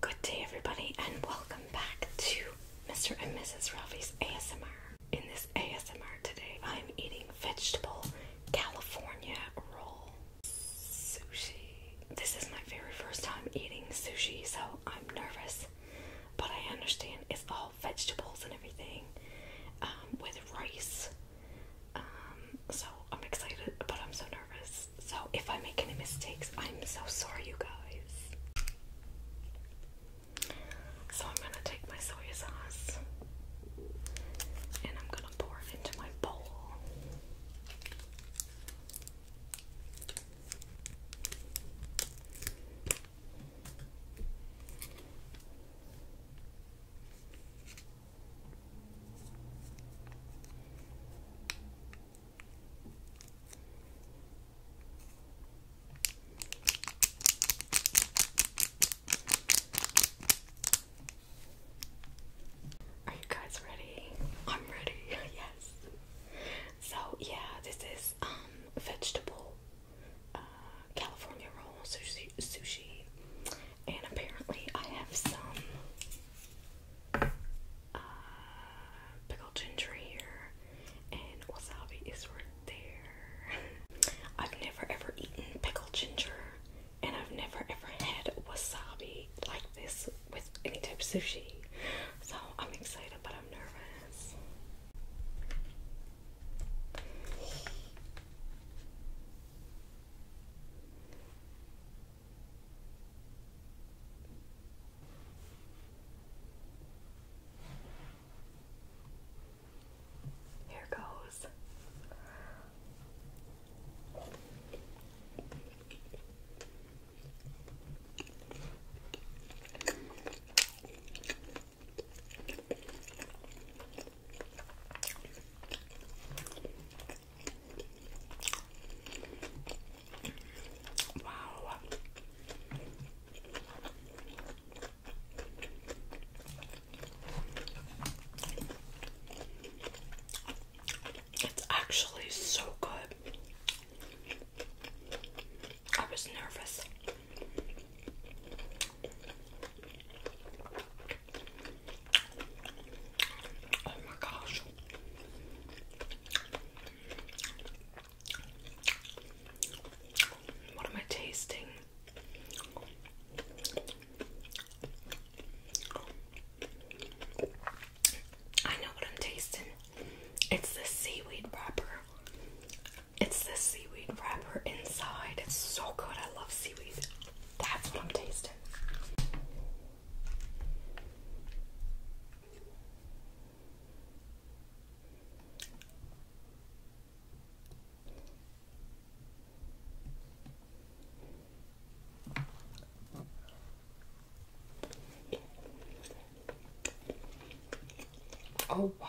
Good day, everybody, and welcome back to Mr. and Mrs. Ralphie's ASMR. In this ASMR today, I'm eating vegetable California roll sushi. This is my very first time eating sushi, so I'm nervous, but I understand it's all vegetables and everything um, with rice. Um, so I'm excited, but I'm so nervous. So if I make any mistakes, I'm so sorry, you guys. So I'm gonna take my soy sauce and I'm gonna pour it into my bowl. Are you guys ready? I'm ready. yes. So yeah, this is um vegetable uh California roll sushi sushi and apparently, I have some uh, pickled ginger here, and wasabi is right there. I've never ever eaten pickled ginger, and I've never ever had wasabi like this with any type of sushi. So I'm excited, but I'm nervous. Here goes. Wow. It's actually so good. I was nervous. Oh my gosh. What am I tasting? I know what I'm tasting. It's the seaweed wrapper. It's the seaweed wrapper inside. It's so good. I love seaweed. That's what I'm tasting. Oh, wow.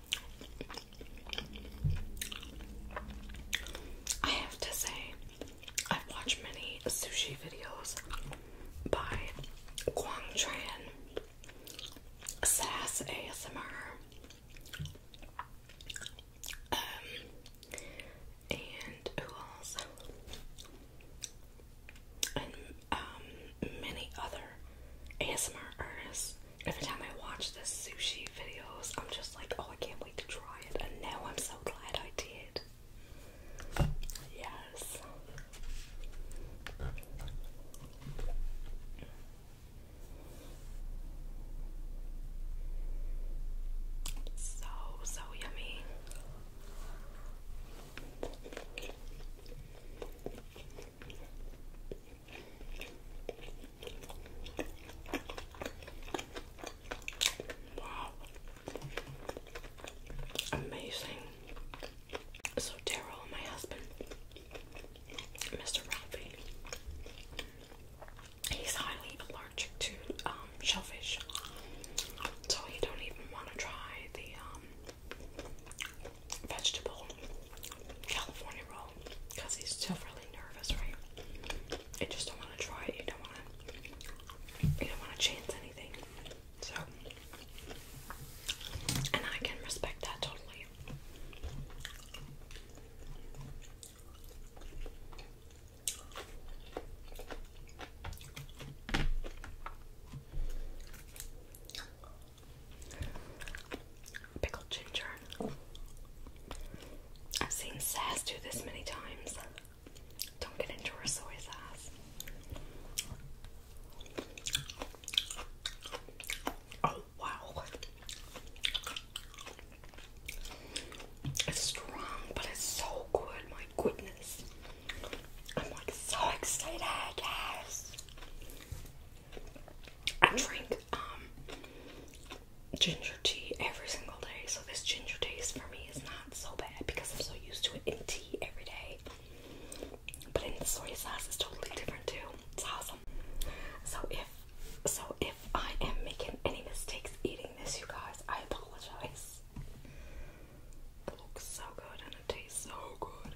I have to say, I've watched many sushi videos by Guang Tran, Sass ASMR, um, and who else? And um, many other ASMR artists Every time I watch the sushi videos, I'm just like, oh, I can't wait to try it. And now I'm so glad I did. Yes. So, so yummy. Wow. Amazing. So Daryl, my husband, Mr. Ralphie, he's highly allergic to um, shellfish, so he don't even want to try the um, vegetable California roll because he's still really nervous, right? I just don't want to try it. You don't want to. You don't want to change anything. So, and I can respect that totally. Pickled ginger. I've seen Sass do this many times. Don't get into her soy sauce. Oh wow. It's strong, but it's so good, my goodness. I'm like so excited, yes. I drink um, ginger tea every single day, so this ginger taste for me is not so bad because I'm so used to it in tea every day. But in the soy sauce it's totally different too. It's awesome. So if so if I am making any mistakes eating this you guys, I apologize. It looks so good and it tastes so good.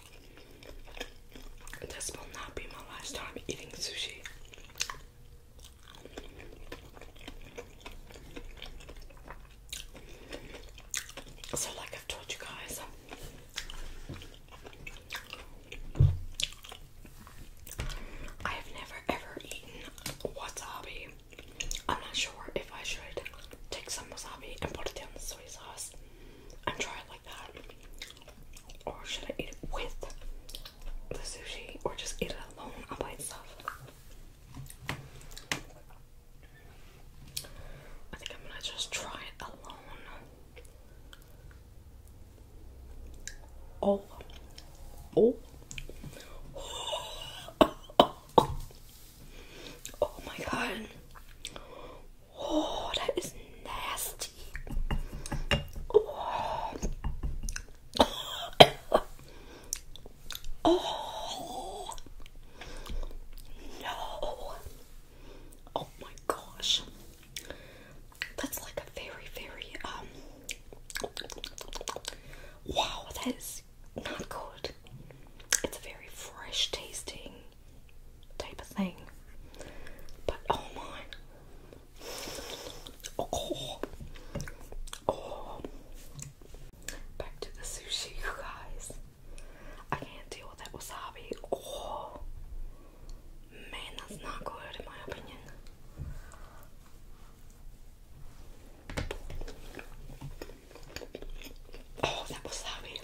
This will not be my last time eating sushi. So, like I've told you guys, I have never ever eaten wasabi. I'm not sure if I should take some wasabi and put it in the soy sauce and try like that? Or should I eat it with the sushi? Or just eat it alone all by itself? I think I'm gonna just try it alone. Oh, oh, oh, oh. oh my god. Oh, that is nasty. Oh. oh. No. Oh my gosh. That's like a very, very, um, wow, that is not good. It's very fresh tasting type of thing. But oh my. Oh, oh. Back to the sushi, you guys. I can't deal with that wasabi. Oh. Man, that's not good in my opinion. Oh, that wasabi.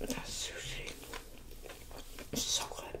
That sushi so good.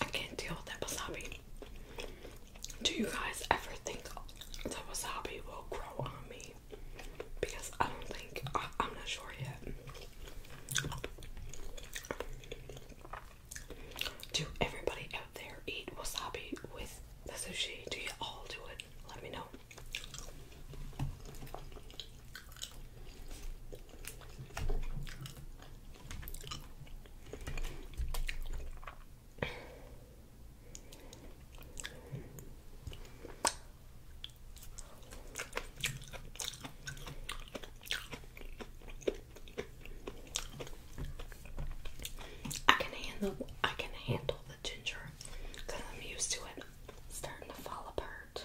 I can't deal with that wasabi. Do you guys ever think the wasabi will grow on me? Because I don't think, I, am not sure yet. Do everybody out there eat wasabi with the sushi? Do you all do it? Let me know. I can handle I can handle the ginger because I'm used to it. It's starting to fall apart.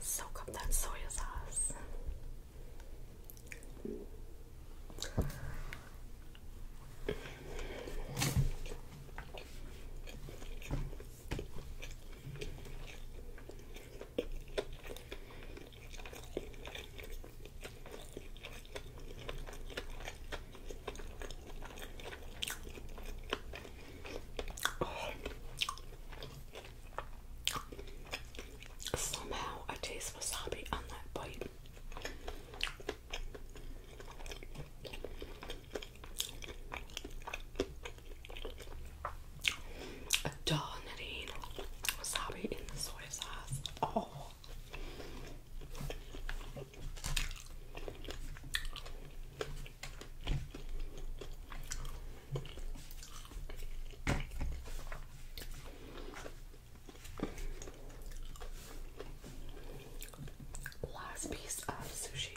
Soak up that soy sauce. Somehow I taste wasabi on that bite. A doll wasabi in the soy sauce. Oh. Last piece of sushi.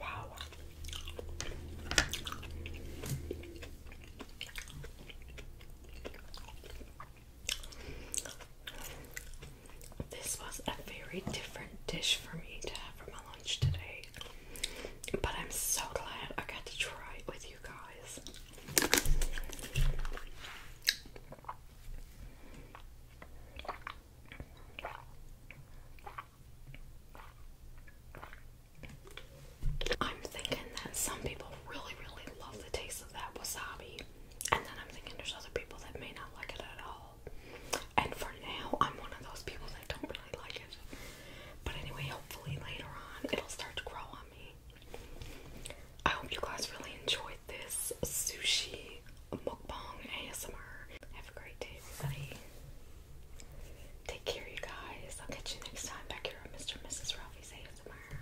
Wow. This was a very different dish for me to have lunch today. But I'm so glad I got to try it with you guys. I'm thinking that some people really, really love the taste of that wasabi, and then I'm thinking there's other people that may not like it at all. And for now, I'm one of those people that don't really like it. But anyway, hopefully later on it'll start to grow on me. I hope you guys really enjoyed this sushi mukbang ASMR. Have a great day, everybody. Take care, you guys. I'll catch you next time back here on Mr. and Mrs. Ralphie's ASMR.